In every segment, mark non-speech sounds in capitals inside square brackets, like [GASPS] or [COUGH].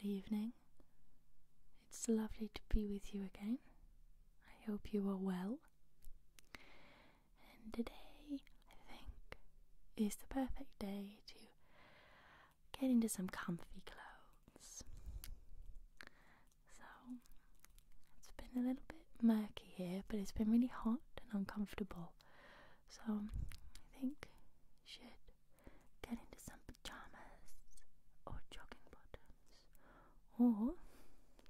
Good evening. It's lovely to be with you again. I hope you are well. And today, I think, is the perfect day to get into some comfy clothes. So it's been a little bit murky here, but it's been really hot and uncomfortable. So I think you should get into some pajamas or jogging bottoms, or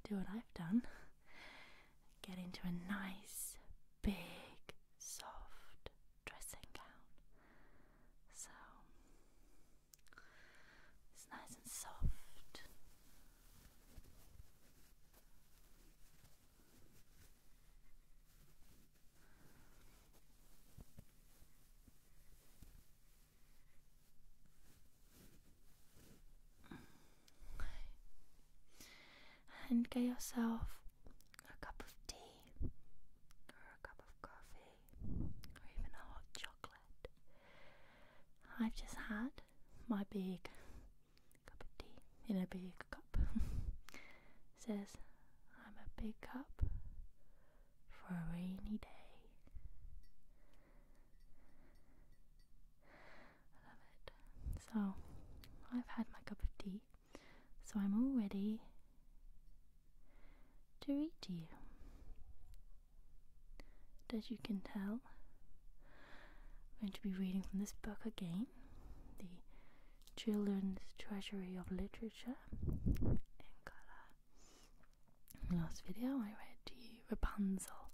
do what I've done get into a nice, big, soft dressing gown. So it's nice and soft. Mm. And get yourself a cup of tea or a cup of coffee or even a hot chocolate. I've just had my big cup of tea in a big cup. [LAUGHS] Says, I'm a big cup for a rainy day. I love it. So, I've had my cup of tea, so I'm all ready to read to you as you can tell, I'm going to be reading from this book again The Children's Treasury of Literature in Colour. Last video I read to Rapunzel,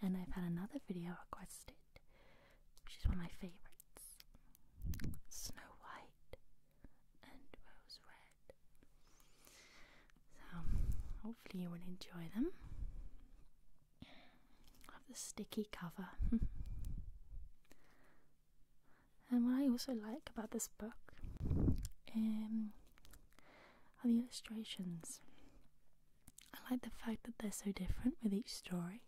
and I've had another video requested, which is one of my favourites Snow White and Rose Red. So, hopefully, you will enjoy them. Have the sticky cover. [LAUGHS] and what I also like about this book um, are the illustrations. I like the fact that they're so different with each story.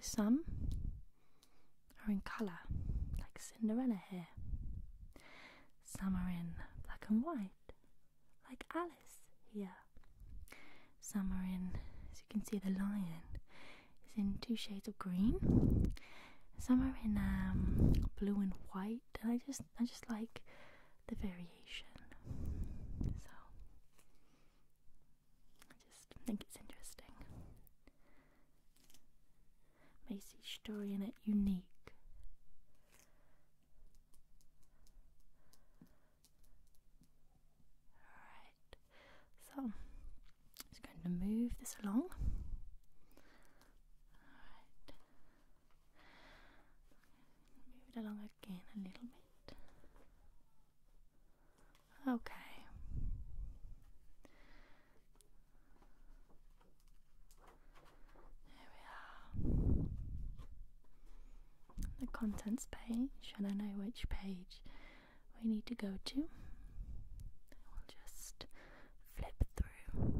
So, some are in colour, like Cinderella here. Some are in black and white, like Alice Yeah. Some are in, as you can see, the lion is in two shades of green. Some are in um, blue and white, and I just, I just like the variation. So I just think it's interesting makes each story in it unique. Alright, so I'm just going to move this along. Alright, move it along again a little bit. Okay. Here we are. The contents page, and I know which page we need to go to. We'll just flip through.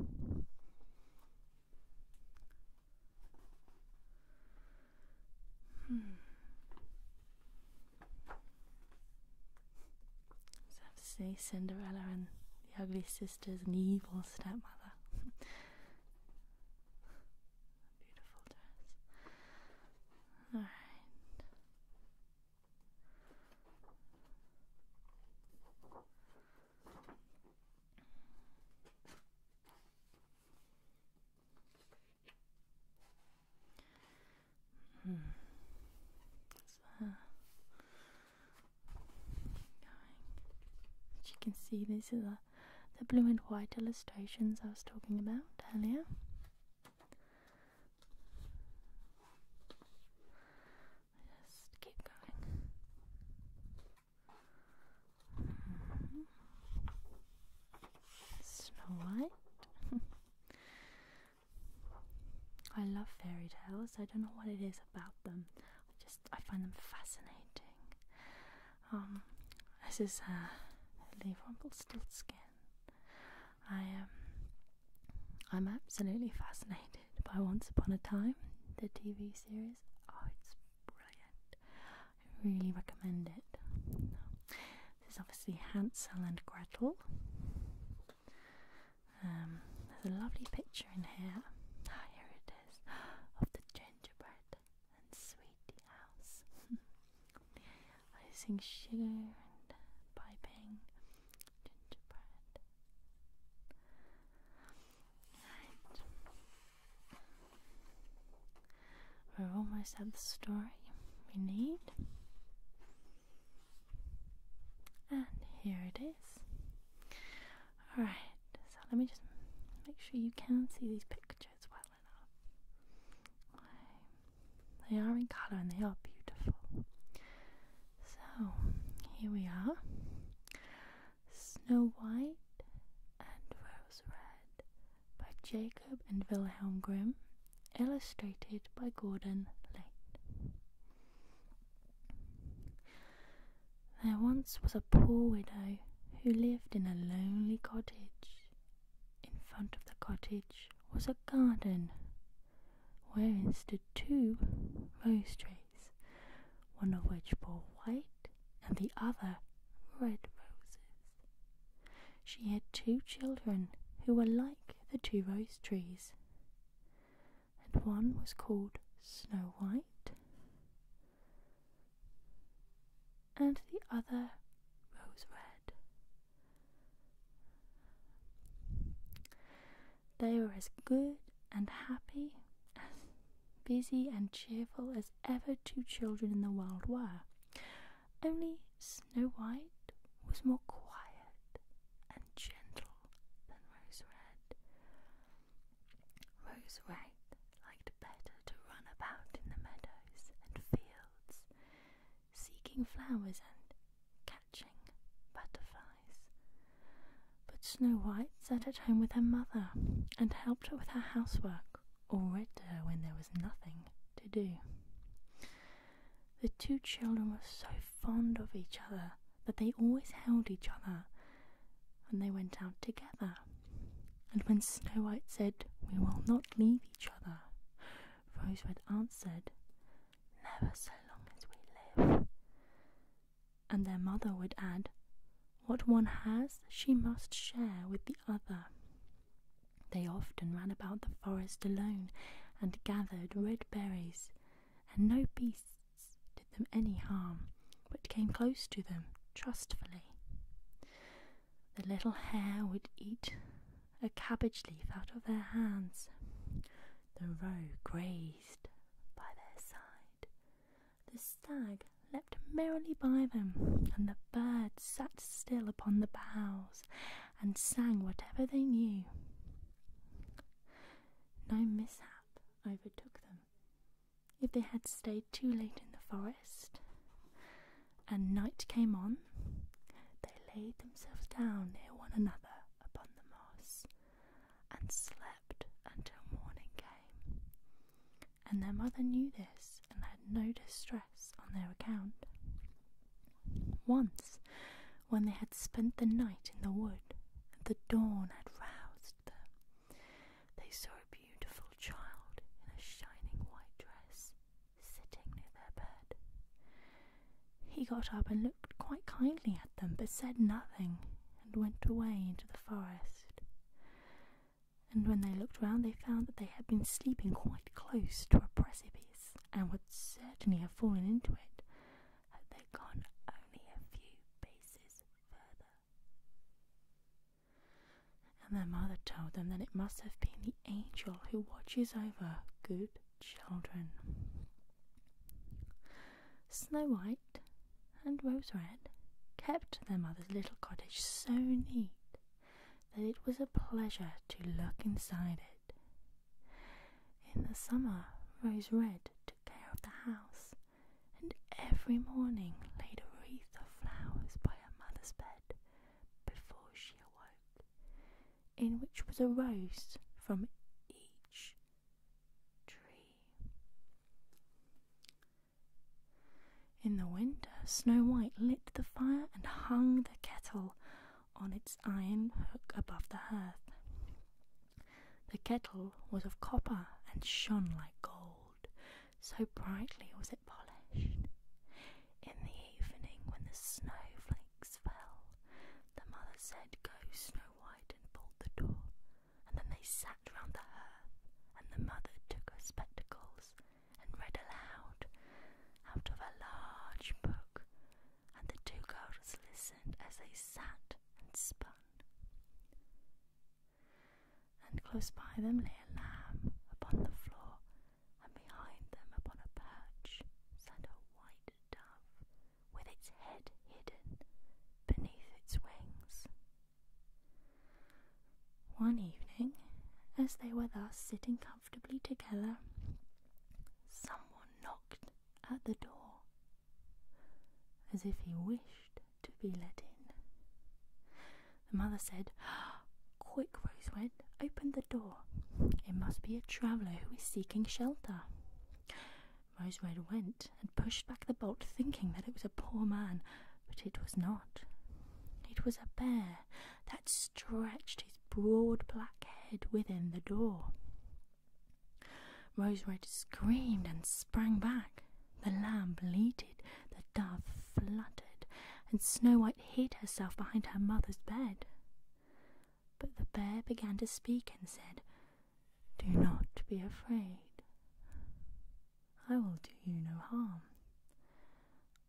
Hmm. I have to say Cinderella and the ugly sisters and the evil stepmother. [LAUGHS] Beautiful dress. Alright. Hmm. So, as you can see, these are the, blue and white illustrations I was talking about earlier. Just keep going. Mm-hmm. Snow White. [LAUGHS] I love fairy tales. I don't know what it is about them. I just I find them fascinating. Um, this is uh, Leave Rumpelstiltskin. I am. Um, I'm absolutely fascinated by Once Upon a Time, the TV series. Oh, it's brilliant. I really recommend it. This is obviously Hansel and Gretel. Um, there's a lovely picture in here. Ah, here it is [GASPS] of the gingerbread and sweet house. [LAUGHS] I sing sugar and piping gingerbread. Right. we have almost had the story we need. And here it is. Alright, so let me just make sure you can see these pictures well enough. They are in colour and they are beautiful. So, here we are Snow White and Rose Red by Jacob and Wilhelm Grimm, illustrated by Gordon Lake. There once was a poor widow who lived in a lonely cottage. In front of the cottage was a garden wherein stood two rose trees, one of which bore white and the other red roses. She had two children who were like the two rose trees and one was called Snow White, and the other Rose Red. They were as good and happy, as busy and cheerful as ever two children in the world were, only Snow White was more quiet and gentle than Rose Red. Rose Red liked better to run about in the meadows and fields, seeking flowers and catching butterflies. But Snow White sat at home with her mother and helped her with her housework, or read to her when there was nothing to do. The two children were so fond of each other that they always held each other, and they went out together. And when Snow White said, We will not leave each other, Rose Red answered, Never so long as we live. And their mother would add, What one has, she must share with the other. They often ran about the forest alone and gathered red berries and no beasts did them any harm, but came close to them trustfully. The little hare would eat a cabbage leaf out of their hands. The roe grazed by their side. The stag leapt merrily by them, and the birds sat still upon the boughs and sang whatever they knew. No mishap overtook them. If they had stayed too late in the forest and night came on, they laid themselves down near one another upon the moss and slept until morning came. And their mother knew this and had no distress on their account. Once, when they had spent the night in the wood, the dawn had roused them. They saw a beautiful child in a shining white dress sitting near their bed. He got up and looked quite kindly at them, but said nothing and went away into the forest. And when they looked round, they found that they had been sleeping quite close to a precipice and would certainly have fallen into it had they gone only a few paces further. And their mother told them that it must have been the angel who watches over good children. Snow White and Rose Red kept their mother's little cottage so neat that it was a pleasure to look inside it. In the summer, Rose Red took care of the house, and every morning laid a wreath of flowers by her mother's bed before she awoke, in which was a rose from each tree. In the winter, Snow White lit the fire and hung the kettle on its iron hook above the hearth. The kettle was of copper and shone like gold, so brightly was it polished. In the evening, when the snowflakes fell, the mother said, Go, Snow White, and bolt the door. And then they sat round the hearth, and the mother took her spectacles and read aloud out of a large book and the two girls listened as they sat and spun. And close by them lay a lamb upon the floor, and behind them upon a perch sat a white dove with its head hidden beneath its wings. One evening, as they were thus sitting comfortably together, someone knocked at the door as if he wished to be let in. The mother said, [GASPS] Quick, Rosewood, open the door. It must be a traveller who is seeking shelter. Rose Red went and pushed back the bolt, thinking that it was a poor man, but it was not. It was a bear that stretched his broad black head within the door. Rose Red screamed and sprang back. The lamb bleated, the dove fluttered, and Snow White hid herself behind her mother's bed. But the bear began to speak and said, Do not be afraid. I will do you no harm.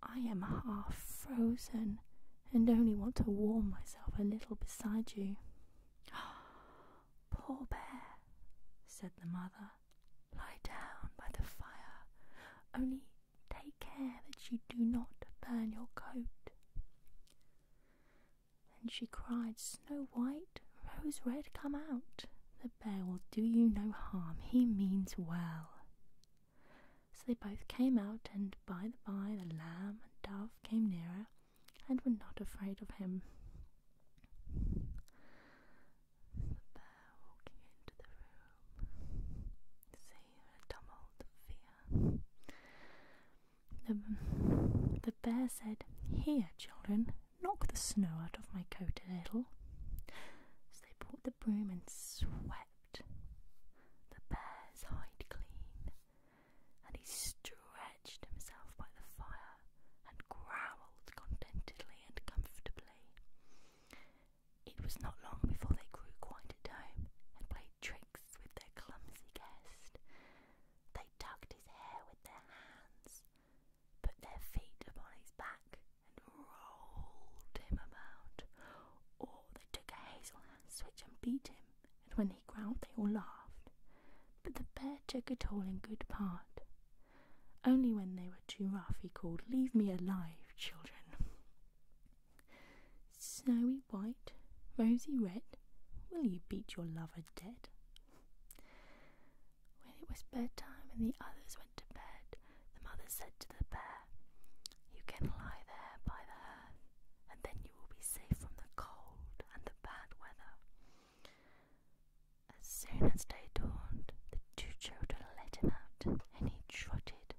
I am half frozen, and only want to warm myself a little beside you. [GASPS] Poor bear, said the mother, lie down by the fire, only take care that you do not burn your coat. And she cried, Snow White, Rose Red, come out. The bear will do you no harm, he means well. So they both came out, and by the by, the lamb and dove came nearer and were not afraid of him. The bear walking into the room, seeing a fear. The, the bear said, Here, children, knock the snow out of my coat a little. So they brought the broom and swept the bear's hide clean, and he stretched himself by the fire and growled contentedly and comfortably. It was not long before they grew quite at home and played tricks with their clumsy guest. They tugged his hair with their hands, put their feet upon his back, and rolled him about, they took a hazel hand switch and beat him, and when he growled, they all laughed. But the bear took it all in good part. Only when they were too rough, he called, Leave me alive, children. Snowy white, rosy red, will you beat your lover dead? When it was bedtime and the others went to bed, the mother said to the bear, you can lie there by the hearth, and then you will be safe from the cold and the bad weather. As soon as day dawned, the two children let him out, and he trotted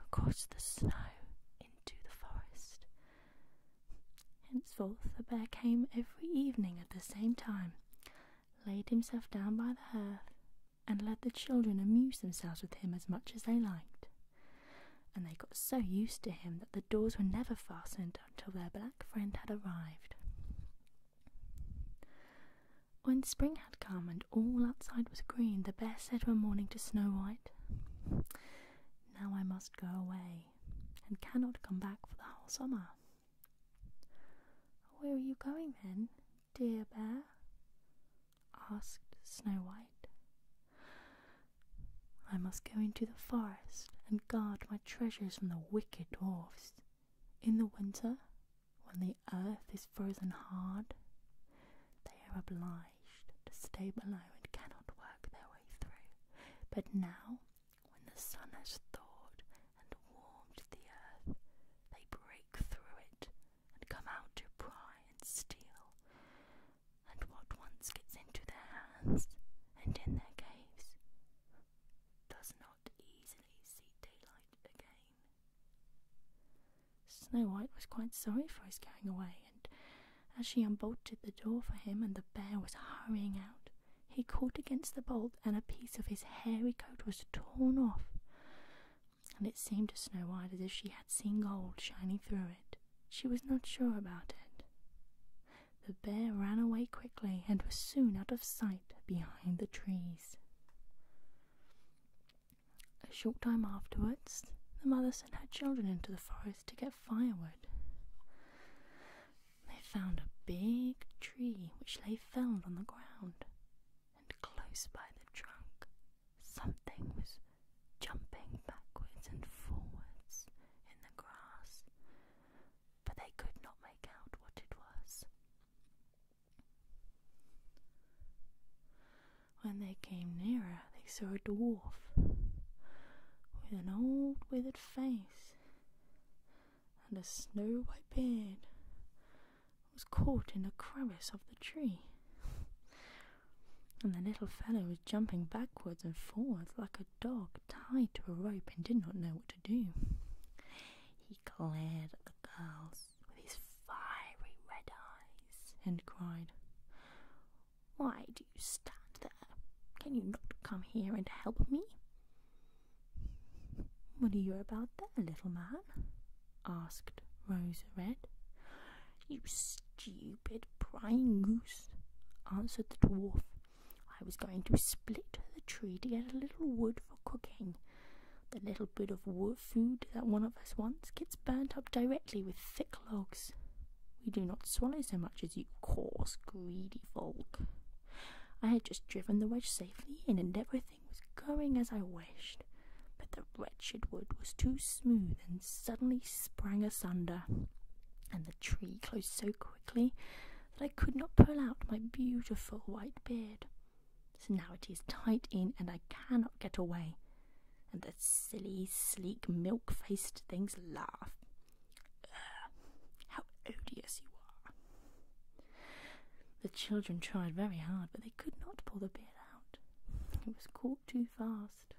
across the snow into the forest. Henceforth, the bear came every evening at the same time, laid himself down by the hearth, and let the children amuse themselves with him as much as they liked and they got so used to him that the doors were never fastened until their black friend had arrived. When spring had come and all outside was green, the bear said one morning to Snow White, Now I must go away, and cannot come back for the whole summer. Where are you going then, dear bear? asked Snow White. I must go into the forest and guard my treasures from the wicked dwarfs. In the winter, when the earth is frozen hard, they are obliged to stay below and cannot work their way through. But now, when the sun has thawed and warmed the earth, they break through it and come out to pry and steal, and what once gets into their hands and in their caves does not easily see daylight again. Snow White was quite sorry for his going away, and as she unbolted the door for him and the bear was hurrying out, he caught against the bolt and a piece of his hairy coat was torn off and it seemed to Snow White as if she had seen gold shining through it. She was not sure about it. The bear ran away quickly and was soon out of sight behind the trees. A short time afterwards, the mother sent her children into the forest to get firewood. They found a big tree which lay felled on the ground, and close by the trunk Something was jumping backwards and forwards in the grass, but they could not make out what it was. When they came nearer, they saw a dwarf with an old withered face and a snow white beard was caught in a crevice of the tree. and the little fellow was jumping backwards and forwards like a dog tied to a rope and did not know what to do. He glared at the girls with his fiery red eyes and cried, Why do you stand there? Can you not come here and help me? What are you about there, little man? asked Rosa Red. You stupid prying goose, answered the dwarf. I was going to split the tree to get a little wood for cooking. The little bit of wood food that one of us wants gets burnt up directly with thick logs. We do not swallow so much as you coarse, greedy folk. I had just driven the wedge safely in, and everything was going as I wished, but the wretched wood was too smooth and suddenly sprang asunder, and the tree closed so quickly that I could not pull out my beautiful white beard. So now it is tight in, and I cannot get away. And the silly, sleek, milk faced things laugh. how odious you are! The children tried very hard, but they could not pull the beard it was caught too fast.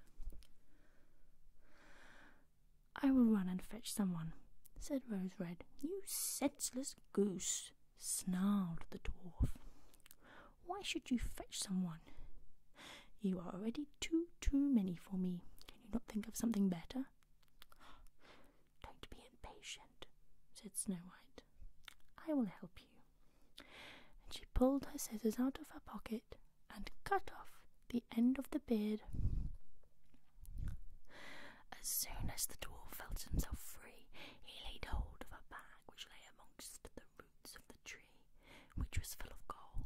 I will run and fetch someone, said Rose Red. You senseless goose, snarled the dwarf. Why should you fetch someone? You are already too, too many for me. Can you not think of something better? Don't be impatient, said Snow White. I will help you. And she pulled her scissors out of her pocket and cut off the end of the beard. As soon as the dwarf felt himself free, he laid hold of a bag which lay amongst the roots of the tree, which was full of gold,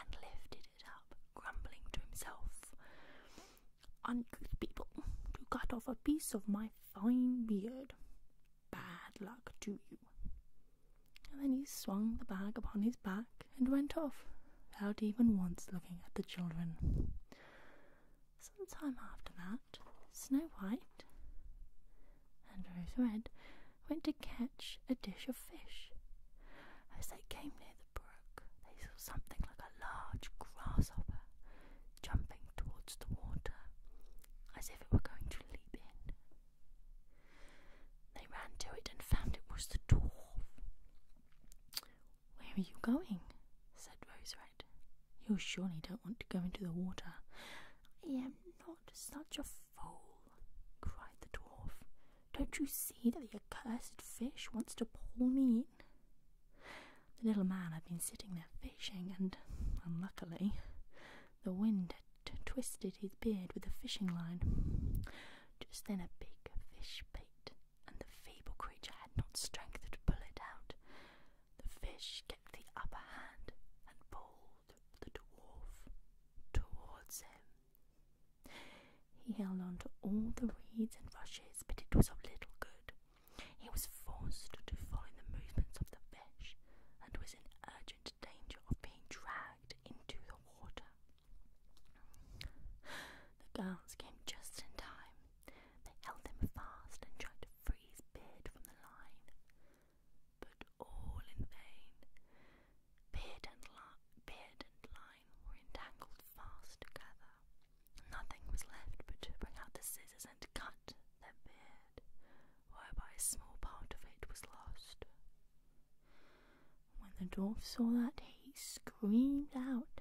and lifted it up, grumbling to himself, Uncouth people, to cut off a piece of my fine beard. Bad luck to you. And then he swung the bag upon his back and went off, without even once looking at the children. Some time after that, Snow White and Rose Red went to catch a dish of fish. As they came near the brook, they saw something like a large grasshopper jumping towards the water as if it were going to leap in. They ran to it and found it was the dwarf. Where are you going? said Rose Red. You surely don't want to go into the water. I am not such a fool, cried the dwarf. Don't you see that the accursed fish wants to pull me in? The little man had been sitting there fishing, and unluckily, the wind had twisted his beard with the fishing line. Just then, a big fish bit, and the feeble creature had not strength to pull it out. The fish kept the upper hand and pulled the dwarf towards him. He held on to all the reeds and rushes, but it was of little good. He was forced to follow the movements of the fish and was in urgent danger of being dragged into the water. The girls came just in time. They held him fast and tried to free beard from the line, but all in vain. Beard and, line were entangled fast together. Nothing was left but to bring out the scissors and cut their beard head, whereby a small part of it was lost. When the dwarf saw that, he screamed out,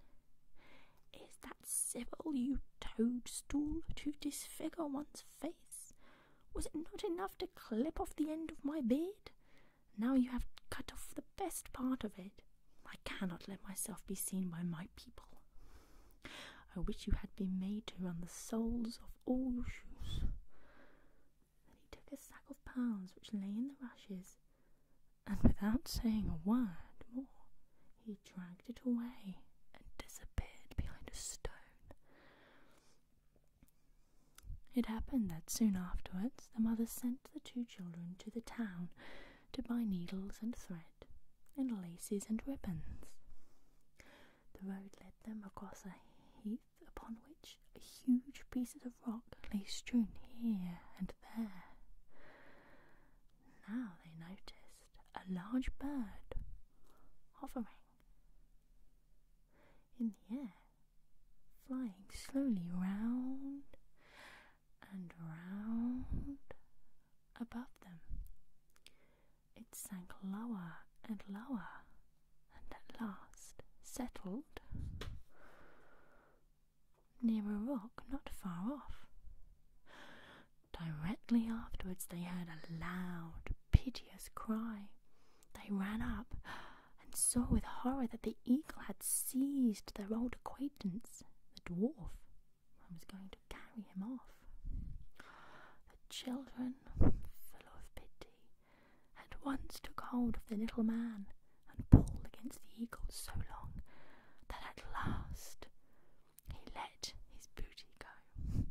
Is that civil, you toadstool, to disfigure one's face? Was it not enough to clip off the end of my beard? Now you have cut off the best part of it. I cannot let myself be seen by my people. I wish you had been made to run the soles of all your shoes. Then he took a sack of pearls which lay in the rushes, and without saying a word more, he dragged it away and disappeared behind a stone. It happened that soon afterwards the mother sent the two children to the town to buy needles and thread bread and laces and ribbons. The road led them across a heath upon which huge pieces of rock lay strewn here and there. Now they noticed a large bird hovering in the air, flying slowly round and round above them. It sank lower and lower, and at last settled near a rock not far off. Directly afterwards, they heard a loud, piteous cry. They ran up and saw with horror that the eagle had seized their old acquaintance, the dwarf, I was going to carry him off. The children, full of pity, at once took hold of the little man and pulled against the eagle so long that at last he let his booty go.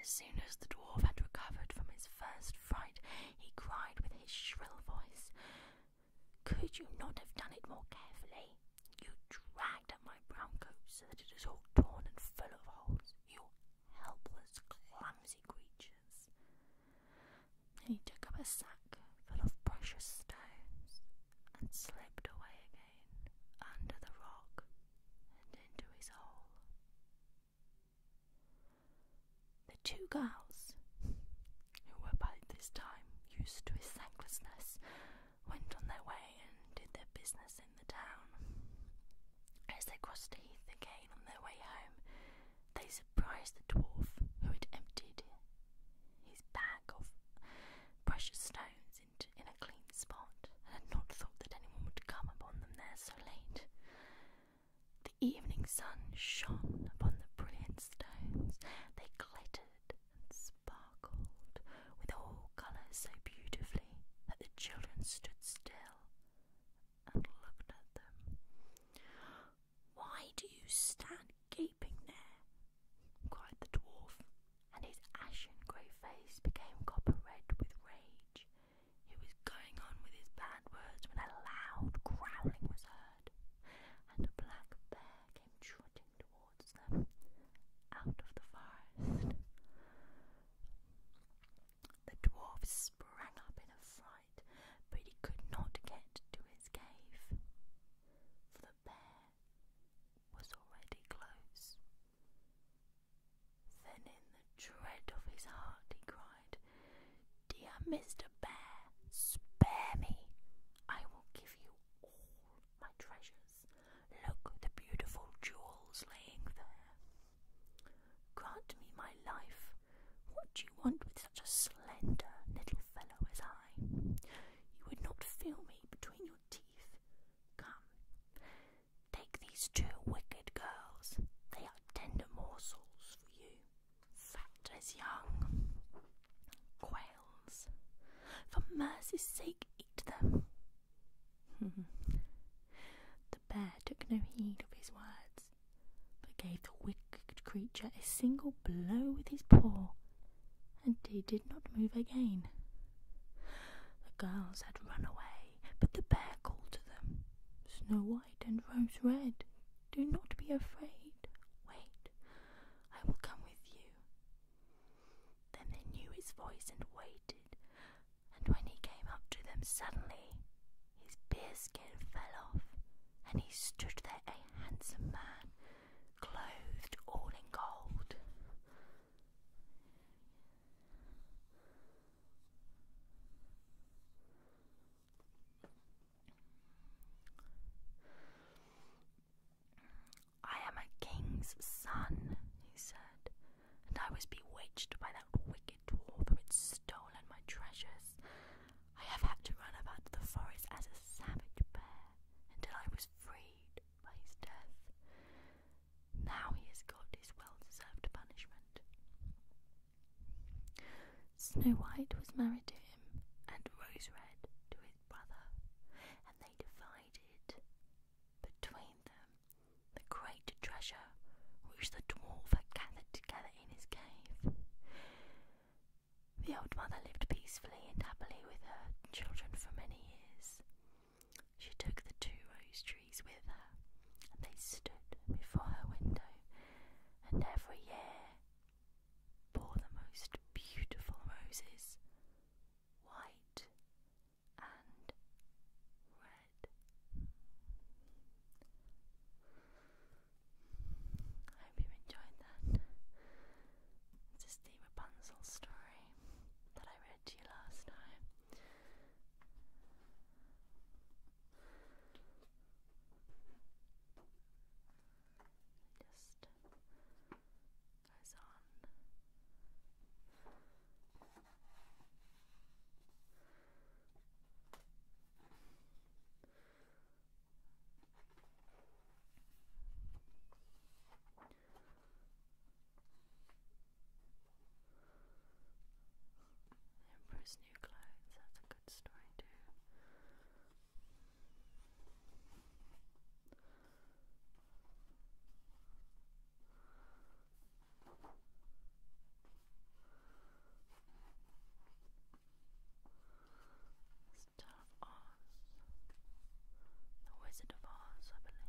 As soon as the dwarf had recovered from his first fright, he cried with his shrill voice, Could you not have done it more carefully? You dragged at my brown coat so that it is all torn and full of holes, you helpless, clumsy creatures. Then he took up a sack full of precious stones and slipped away again under the rock and into his hole. The two girls, who were by this time used to his thanklessness, went on their way and did their business in the town. As they crossed the Heath again on their way home, they surprised the dwarf who had emptied his bag of precious stones in a clean spot and had not thought that anyone would come upon them there so late. The evening sun shone upon the brilliant stones, they glittered and sparkled sparkled with all colours so beautifully that the children stood still and looked at them. Why do you stand gaping there? cried the dwarf, and his ashen grey face became copper red with rage. He was going on with his bad words when a loud growling was heard, and a black bear came trotting towards out of the forest. The dwarf sprang up in a fright, but he could not get to his cave, for the bear was already close. Then, in the dread of his heart, he cried, Dear Mr. Bear, spare me. I will give you all my treasures. Look, at the beautiful jewels laying there. Grant me my life. What do you want with such a slender little fellow as I? You would not feel me between your teeth. Come, take these two wicked girls. They are tender morsels for you, fat as young. Quails, for mercy's sake, eat them. [LAUGHS] the bear took no heed of his words, but gave the wicked creature a single blow with his paw, and he did not move again. The girls had run away, but the bear called to them, Snow White and Rose Red, do not be afraid. Wait, I will come with you. Then they knew his voice and waited, and when he came up to them suddenly, his bearskin fell off, and he stood there a handsome man, clothed all in gold. I am a king's son, he said, and I was bewitched by that wicked dwarf who had stolen my treasures. I have had to run about the forest as a savage bear until I was freed by his death. Now he has got his well deserved punishment. Snow White was married to him, and Rose Red to his brother, and they divided between them the great treasure which the dwarf had gathered together in his cave. The old mother lived peacefully and happily with her children for many years. She took the two rose trees with her, and they stood before her window, and every year for the most beautiful roses, white and red. I hope you enjoyed that. It's just the Rapunzel story that I read to you last time just goes on. Emperor's New Clothes, that's a good story too. Star of The Wizard of Oz, I believe.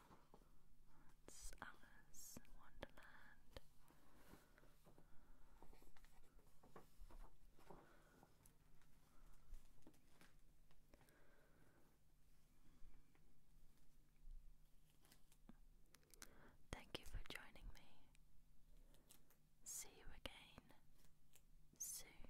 It's Alice in Wonderland. Thank you for joining me. See you again soon.